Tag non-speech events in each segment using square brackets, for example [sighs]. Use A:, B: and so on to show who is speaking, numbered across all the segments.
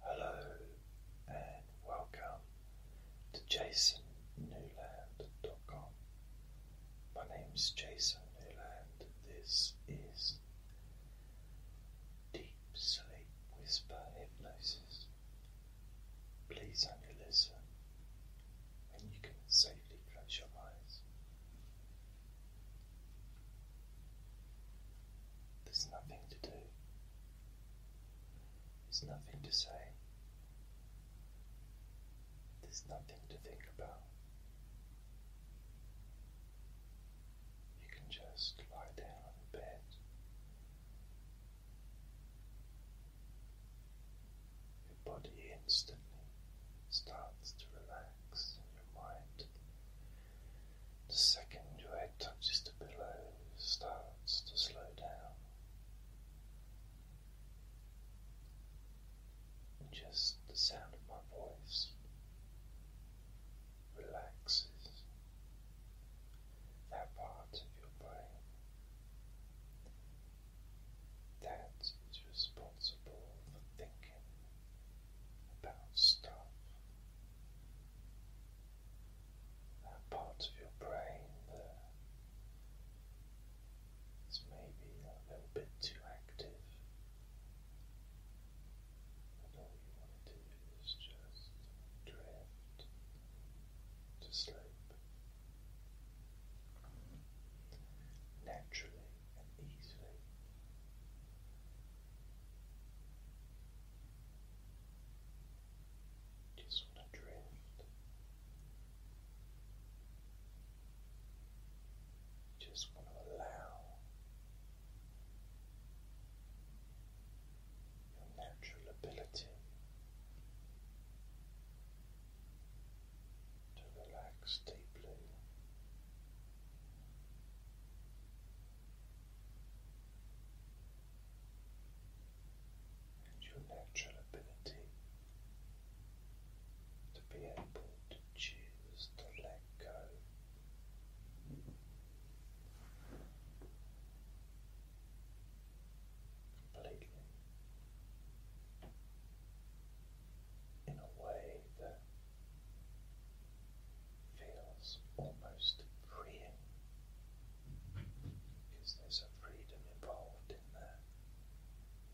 A: Hello and welcome to jasonnewland.com. My name is Jason Newland. This is Deep Sleep Whisper Hypnosis. Please only listen when you can safely close your eyes. There's nothing to do. There's nothing to say. There's nothing to think about. You can just lie down in bed. Your body instantly starts to relax and your mind the second your head touches the pillow, starts to slow down. just the sound of my voice relaxes that part of your brain that is responsible for thinking about stuff. That part of your brain that is maybe a little bit too active. all you want to do is just drift to sleep. Naturally and easily, just want to drift. Just want to allow your natural ability to relax deeply and your natural ability to be able to choose to let go. Completely in a way that feels almost freeing because there's a freedom involved in that,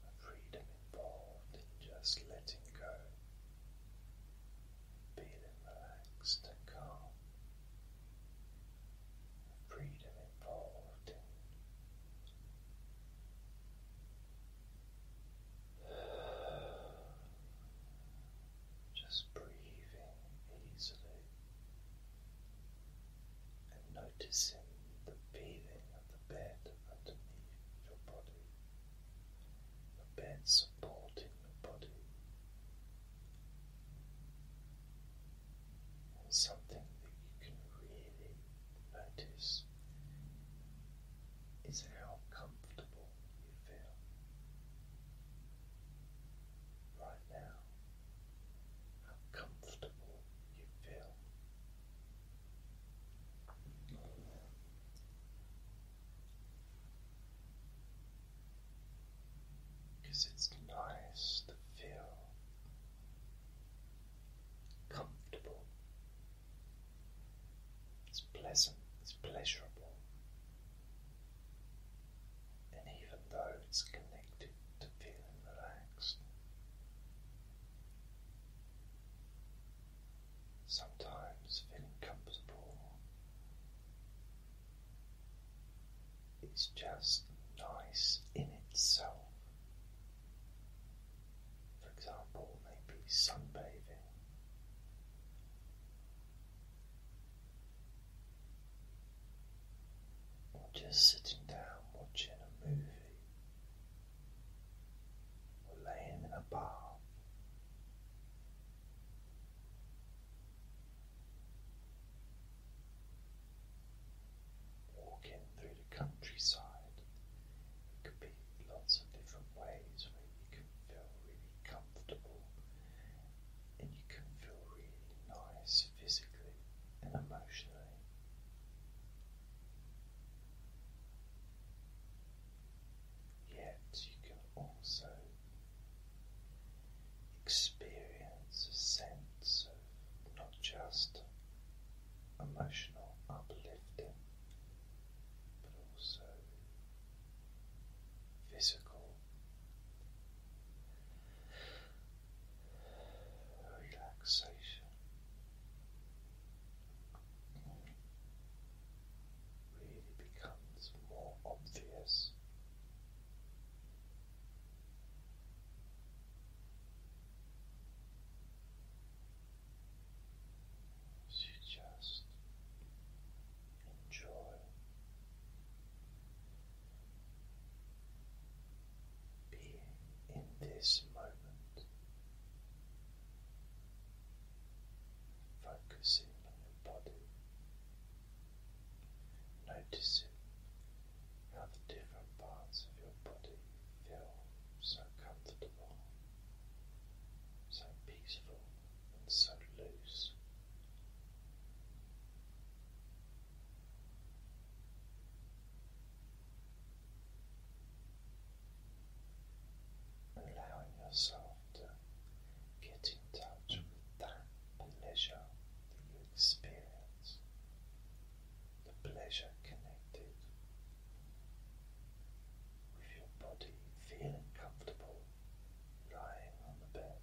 A: a freedom involved in just letting go, feeling relaxed and calm, a freedom involved in. [sighs] just breathing easily and noticing the feeling of the bed underneath your body, the bed supporting your body. something that you can really notice is how comfortable warm you right now, how comfortable you feel. Because it's nice to feel comfortable it's pleasant, it's pleasurable. And even though it's connected to feeling relaxed, sometimes feeling comfortable is just nice in itself. For example, maybe sunbathing just sitting down watching a movie, or laying in a bath. Walking through the countryside, it could be lots of different ways you can feel really comfortable and you can feel really nice physically and emotionally. Yet you can also experience a sense of not just emotional uplifting but also physical relaxation. Really becomes more obvious so just enjoy. Being in this moment, focusing on your body, noticing how the different parts of your body feel so comfortable so peaceful and so loose. Allowing yourself to get in touch with that pleasure that you experience, the pleasure connected with your body feeling comfortable lying on the bed.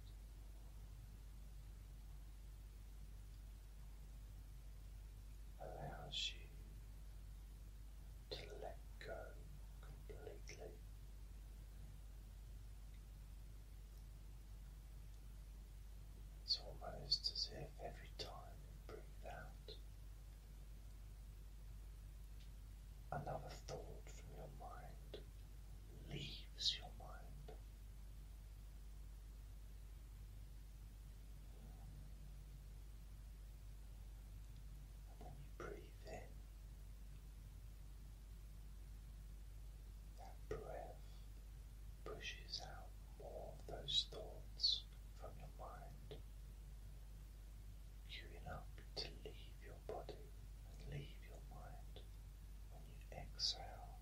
A: Allows you to let go completely. It's almost as if every time you breathe out, Another thought from your mind leaves your mind. And then you breathe in that breath pushes out more of those thoughts from your mind, queuing up to leave your body and leave your mind when you exhale.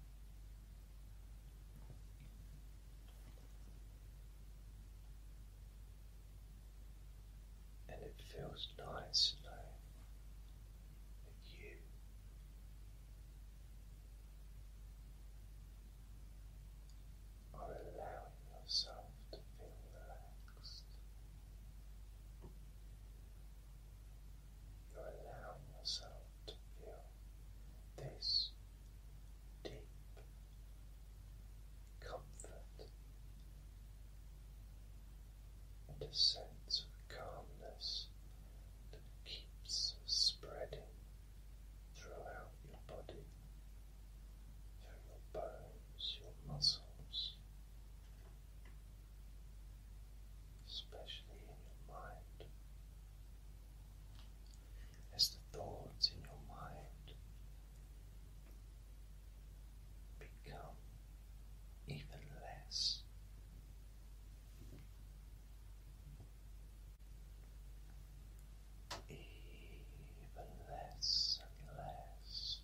A: And it feels nice to know that you are allowing yourself to feel relaxed. You're allowing yourself to feel this deep comfort and a sense of calmness that keeps spreading throughout your body, through your bones, your muscles, especially in your mind. As the thoughts in your mind become even less even less and less,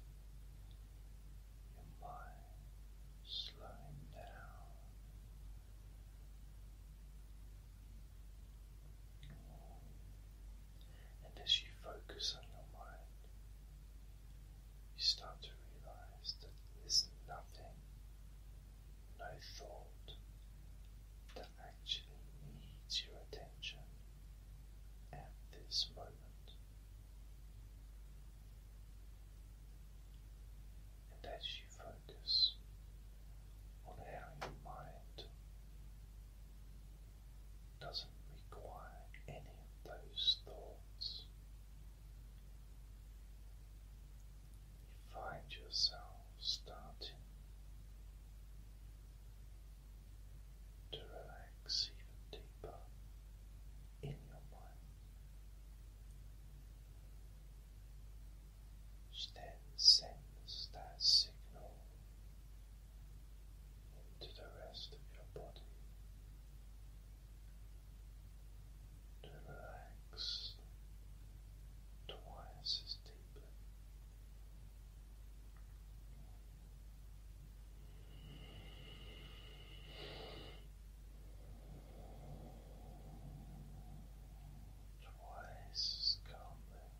A: your mind slowing down. And as you focus on your mind, you start to realize that there's nothing, no thought actually needs your attention at this moment. And as you focus on how your mind doesn't require any of those thoughts, you find yourself starting to relax even deeper in your mind, then sends that signal into the rest of your body. To relax twice as deeply. Twice as calmly,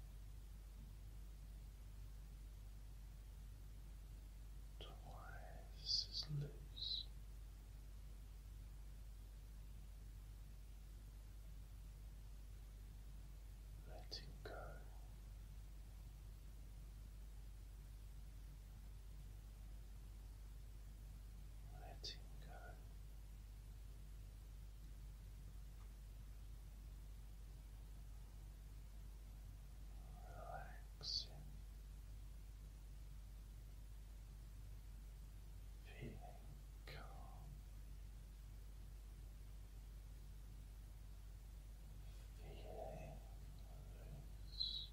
A: twice as loose letting go. Letting go, relaxing, feeling calm Feeling loose.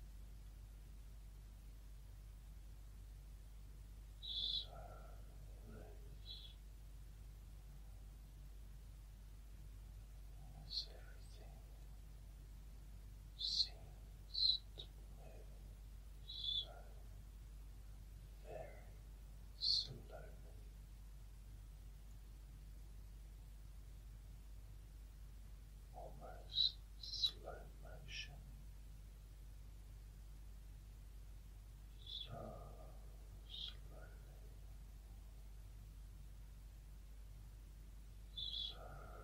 A: So loose. As everything seems to move so very slowly. Almost slow motion, so slowly, so slow.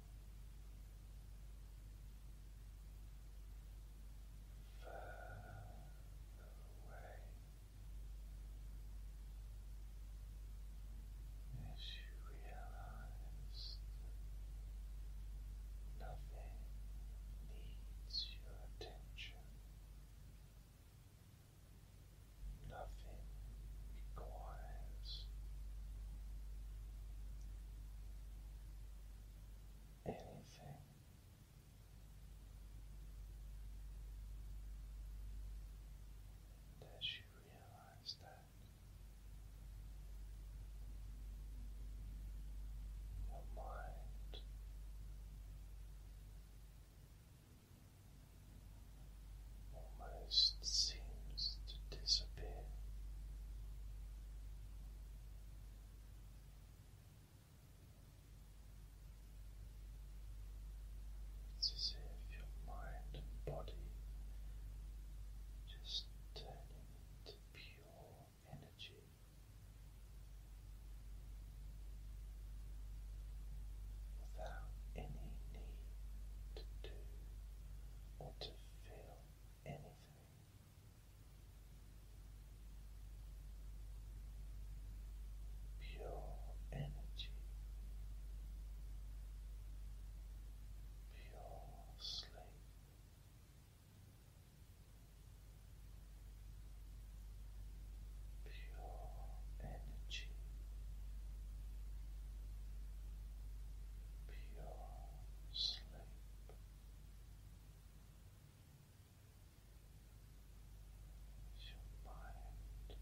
A: as you realize nothing needs your attention. Nothing requires anything. And as realize that, your mind almost seems to disappear. It's as if your mind and body just turning into pure energy. Without any need to do or to feel anything. Pure energy, pure sleep. Pure energy, pure sleep. your mind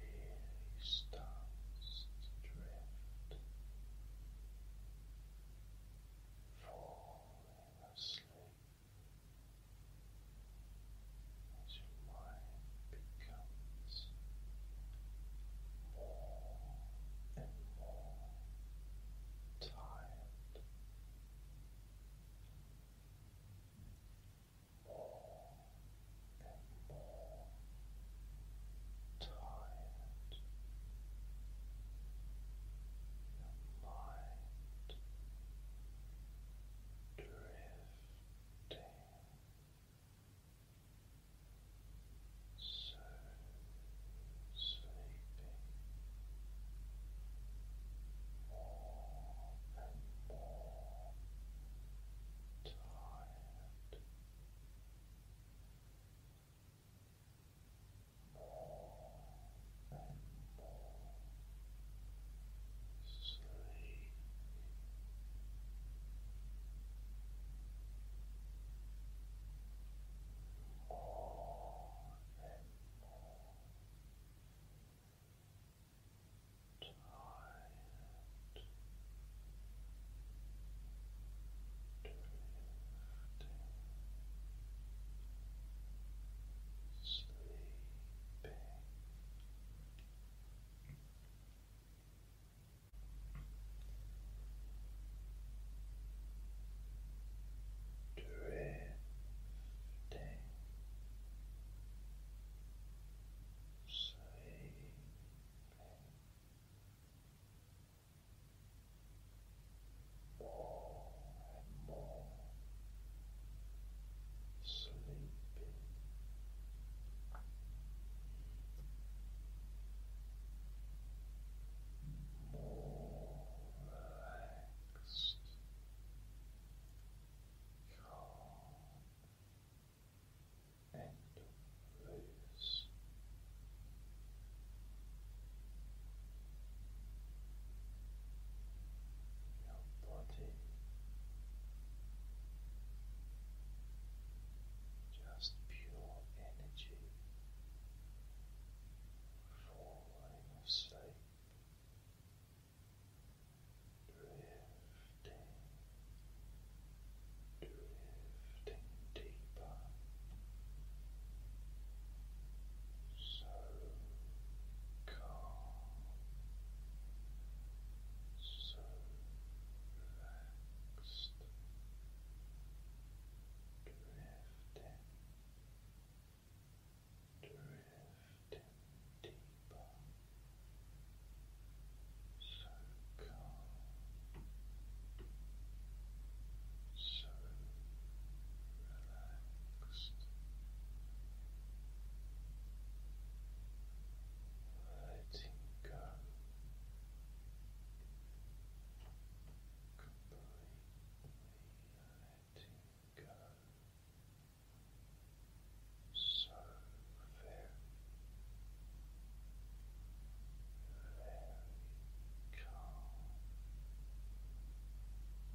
A: really starts to drift, falling asleep as your mind becomes more and more tired, more and more tired, your mind drifting so sleepy, more and more tired. More and more Sleep. More and more tired, drifting, sleeping. Drifting sleeping more and more sleeping. More calm, and loose your body just pure energy falling asleep drifting drifting deeper so calm, so relaxed, drifting, drifting deeper, so calm, so relaxed letting go completely letting go so very very calm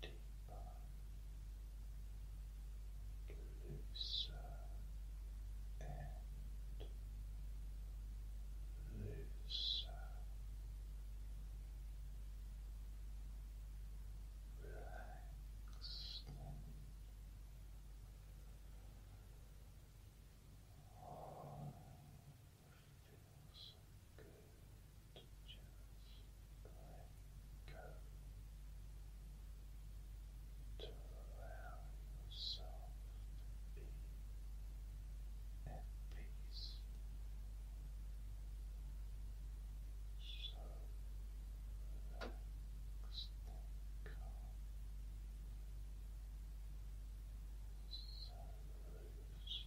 A: deeper, looser, and looser. Relaxed oh, feels good go to allow yourself to be at peace. So relaxed and calm. So loose.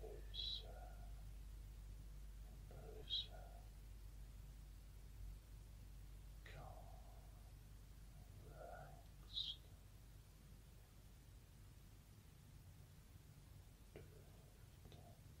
A: looser and looser, calm and relaxed. Drifting, drifting,